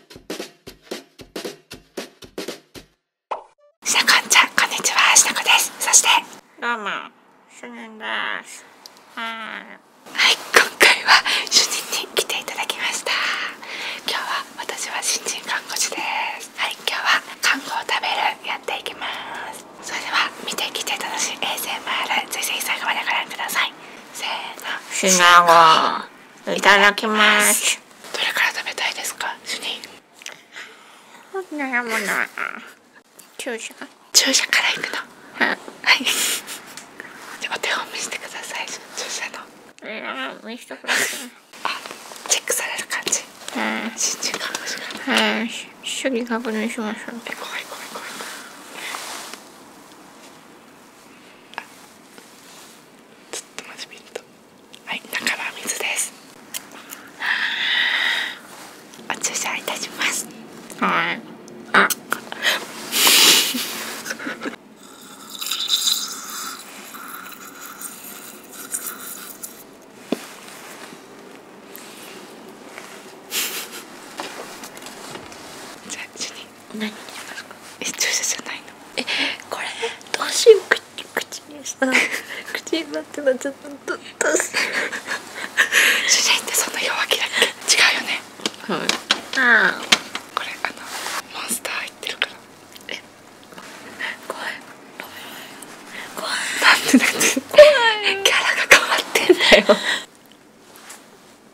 しなこちゃんこんにちはしなこですそしてどうも主任ですはい今回は主任に来ていただきました今日は私は新人看護師ですはい今日は看護を食べるやっていきますそれでは見てきて楽しい ASMR ぜひ最後までご覧くださいせーのシナゴいただきますどれから食べたいですか主任悩むな注射注射からいくのはい、じゃお手本見せてください注射のあチェックされる感じうん新人看護師がうん確認しましょうずっとマシびんとはい中は水ですお注射いたしますはいあじゃあ主任何にしまかえ注射じゃないのえこれどうしよう口口にさ 口になってなちゃったどどう主人ってそんな弱気だっけ違うよねああこれあのモンスター入ってるからえ怖い怖い怖いキャラが変わってんだよ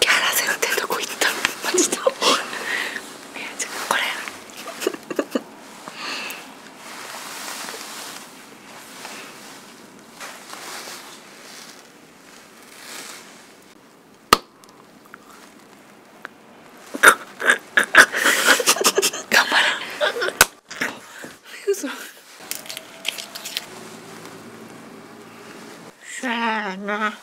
キャラ先生どこ行ったのマジでみやちゃんこ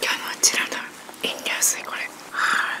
今日のうちらの飲料水これはい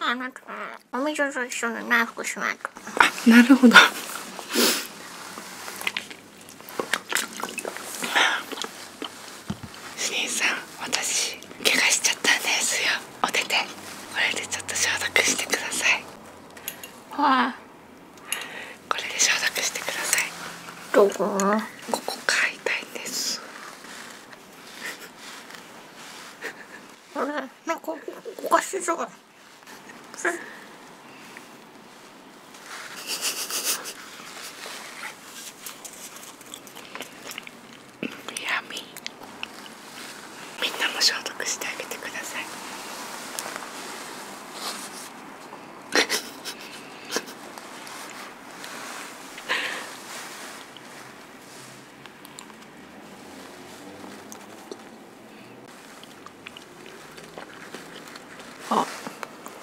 あなんかお水と一緒のナイフしまっあなるほどしんさん私怪我しちゃったんですよお手手これでちょっと消毒してくださいはあ。これで消毒してくださいどこここか痛いんです あなんかおかしいぞ。みんなも消毒してあげてください。あ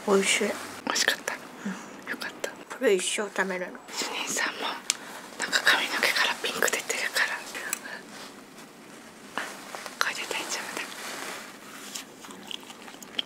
美味しい美味しかった、うん、よかったこれ一生食べる主任さんもなんか髪の毛からピンク出てるからこれで大丈夫だ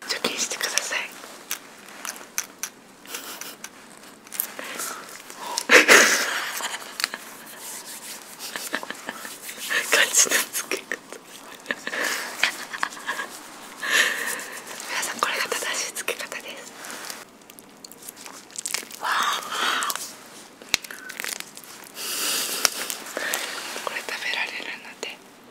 貯金してください皆さんこれが正しい付け方ですこれ食べられるので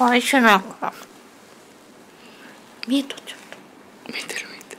おいしいなんか見えとっちゃった見てる見てる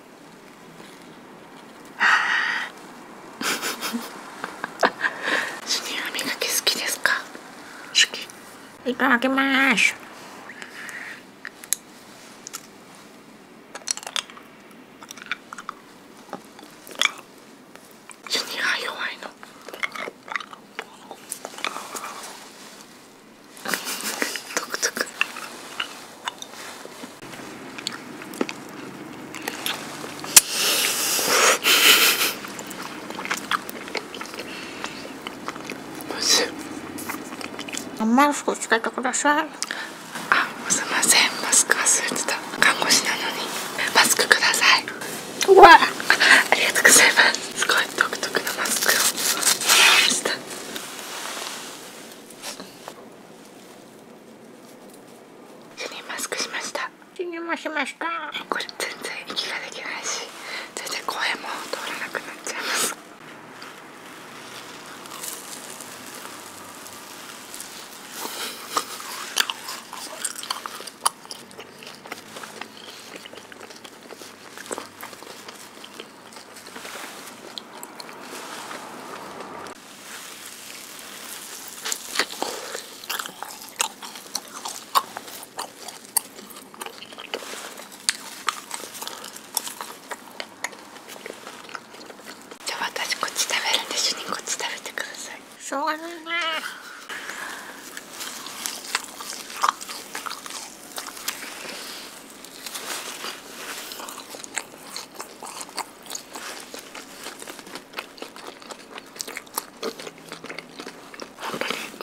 シニア磨き好きですか好きいただきますシニア弱いの独特マスクつけてくださいあすいませんマスク忘れてた看護師なのにマスクくださいわあありがとうございますすごい独特のマスクをもらいました死にマスクしました死にもしましたこれ全然息ができないし全然声も通らなくなっちゃいますじゃ私こっち食べるんで主任こっち食べてくださいそょうがないな本当に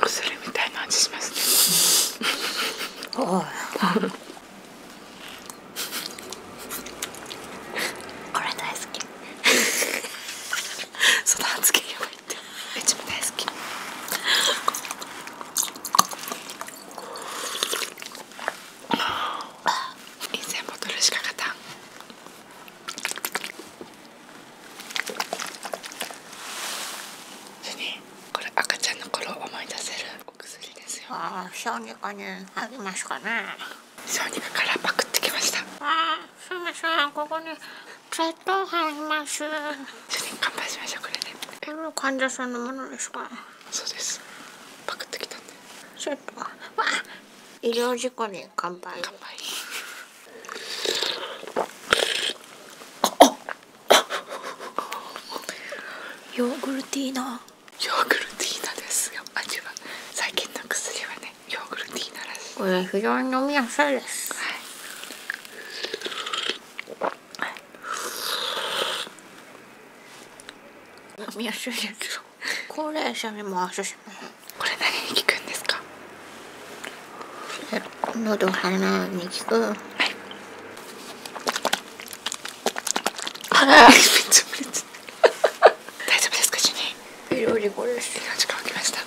薬みたいな味ますねおれ大好き その 大好き1000ボトルしか勝たこれ赤ちゃんの頃思い出せるお薬ですよああ小児科にありますかね小児科からパクってきましたああすいませんここに血糖入ります主任乾杯しましょうこれで、ね、こ患者さんのものですかそうですパクってきた医療事故で乾杯ヨーグルティーナヨーグルティーナ最近の薬はねヨーグルティーナらこれ非常に飲みやすいですはい飲みやすいです高齢者にもおすすこれ何に効くんですか喉鼻に効くはい大丈夫ですか主任ビロリゴです命が起きました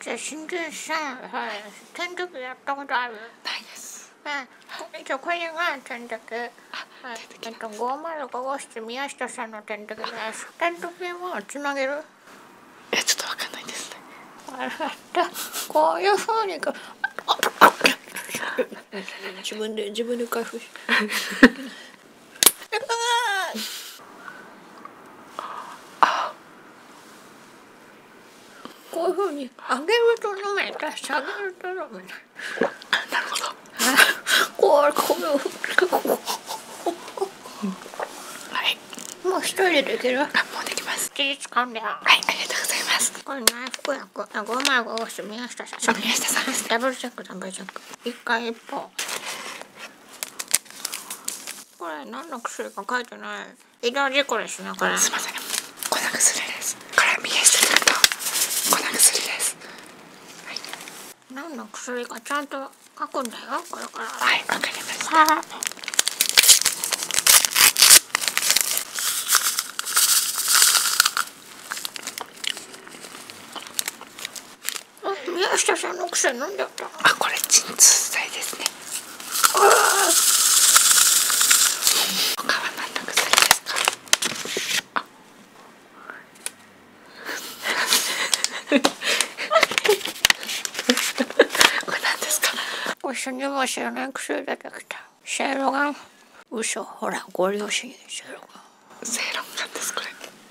じゃあ新人さん、はい、転職やったことあるないです。うん、じゃこれが転職。はい、えっと505号室宮下さんの転職です。転職はつなげるえ、ちょっとわかんないですね。こういうふうにか自分で自分で回復しあ こういうふうに上げると飲めたゃげると飲めたなるほどこうこういうはいもう一人ででるもうできます気掴んではいありがとうございますこれね福役あごまごすんそうんこれ何の薬か書いてない医療事故ですねこれすいません粉薬ですこれ右下ちゃんと薬ですはい何の薬かちゃんと書くんだよこれからはいわかりました宮下さんの奥んなんだっあこれ鎮痛剤ですねあ川なった薬ですか これなんですかご主人も知らない薬出てきたシェーロガン嘘ほらご両親シェーロガンセーロガンですこれ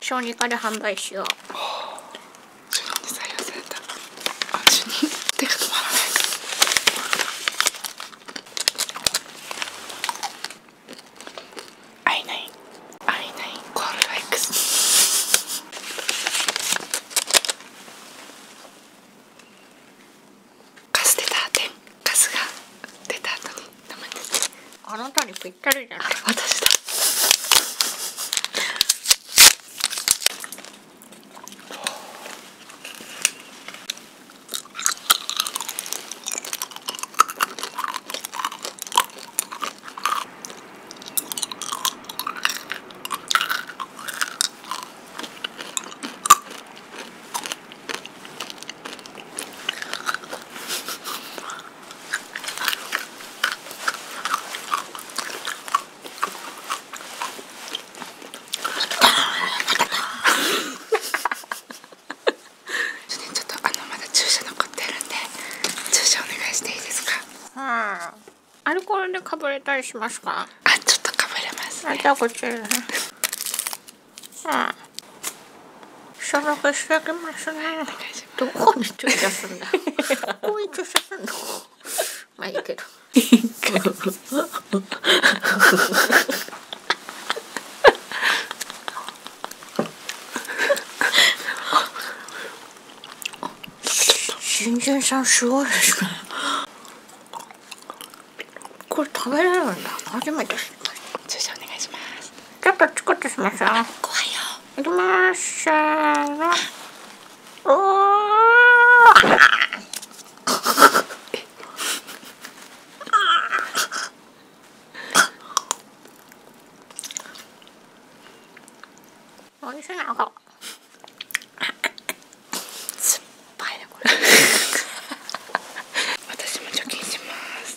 小児科で販売しよう。授業に採用された。あ、い。カス出た点カスが出た後に名前ですあなたにぴったりじゃない私ちょっとあのまだ注射残ってるんで注射お願いしていいですかはあアルコールでかぶれたりしますかあちょっとかぶれますじゃあこちねうん消毒しておきますねいどこに注射すんだど こに注射すんのまあいいけど新人さんすごいですねこれ食べれるんだ初めてお願いしますちょっとチクッとしますよ怖いよいきます。せーの。おー美味しいな、これ。酸っぱいね、これ。私も貯金します。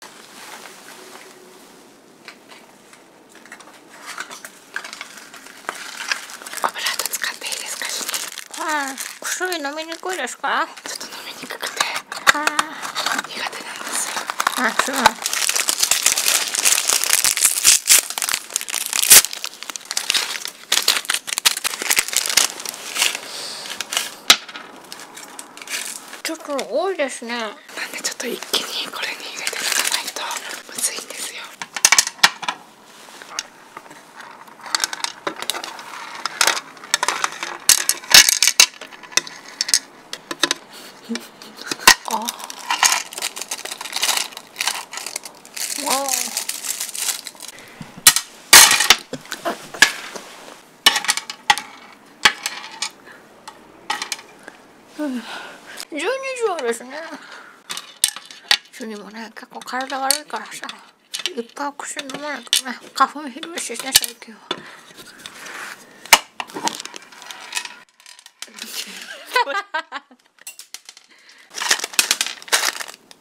油使っていいですかしはい薬飲みにくいですかちょっと飲みにくくてあ苦手なんですあそうちょっと多いですねなんでちょっと一気にこれに入れていかないとむずいんですよ ああ12畳ですね主にもね結構体悪いからさいっぱい薬飲まないとね花粉ひどいしね最近は。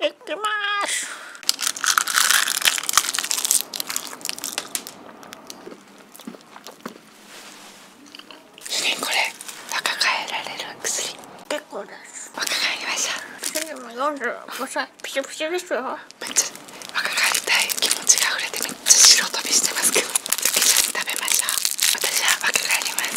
いきます薬これ若返られる薬結構です若返りましたでも45歳ピシピシですよめっち若返りたい気持ちが溢れてめっちゃ白飛びしてますけど一緒に食べました。私は若返ります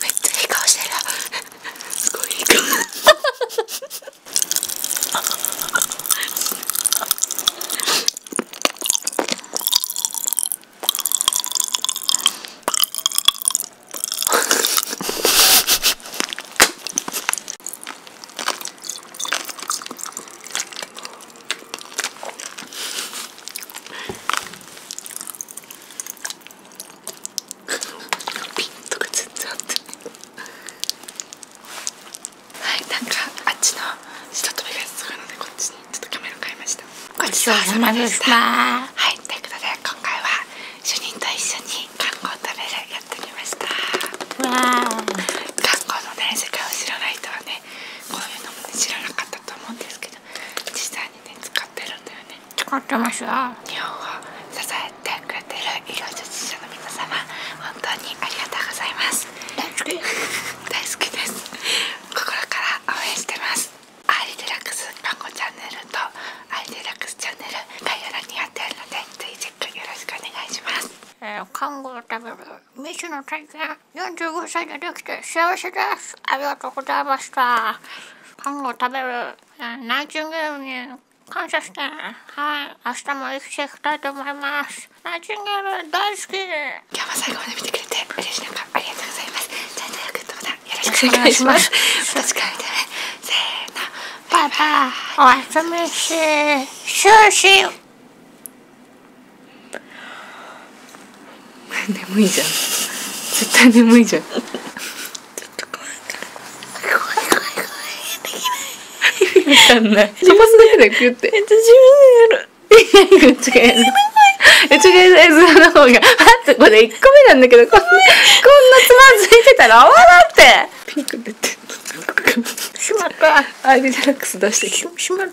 めっちゃいい顔してるすごいいい顔かはいなんかあっちの下飛びがすごのでこっちにちょっとキメラ買いましたごちそうさまでしたはいということで今回は主人と一緒に観光トレやってきました観光のね世界を知らないと。はねこういうのもね知らなかったと思うんですけど実際にね使ってるんだよね使ってますよ日本を支えてくれてる医療従事者の皆様本当にありがとうございます大好き 大好きです心から応援してますアイデラックス看護チャンネルとアイデラックスチャンネル概要欄に貼ってあるのでぜひチェックよろしくお願いします、え看護のため未知の体験45歳でできて幸せですありがとうございました今後食べるナイチンゲールに感謝してはい明日も行きていたいと思いますナイチンゲール大好き今日も最後まで見てくれて嬉しいのありがとうございますじゃ、ンネルグッドボタンよろしくお願いします私れら見てねせーのバイバイおやすみし終始眠いじゃん絶対眠いじゃんちょっとだけだよってえっ違う違うサイの方があとこれ1個目なんだけどこんなこんなつまずいてたら泡だっててしまったアイビデラックス出してきて閉ま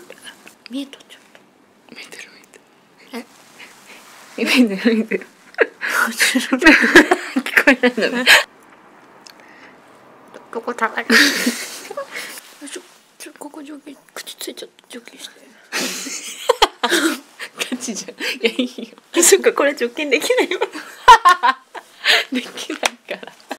ここ食 ょここ上ついちゃって上下 じゃそっかこれ除菌できないできないから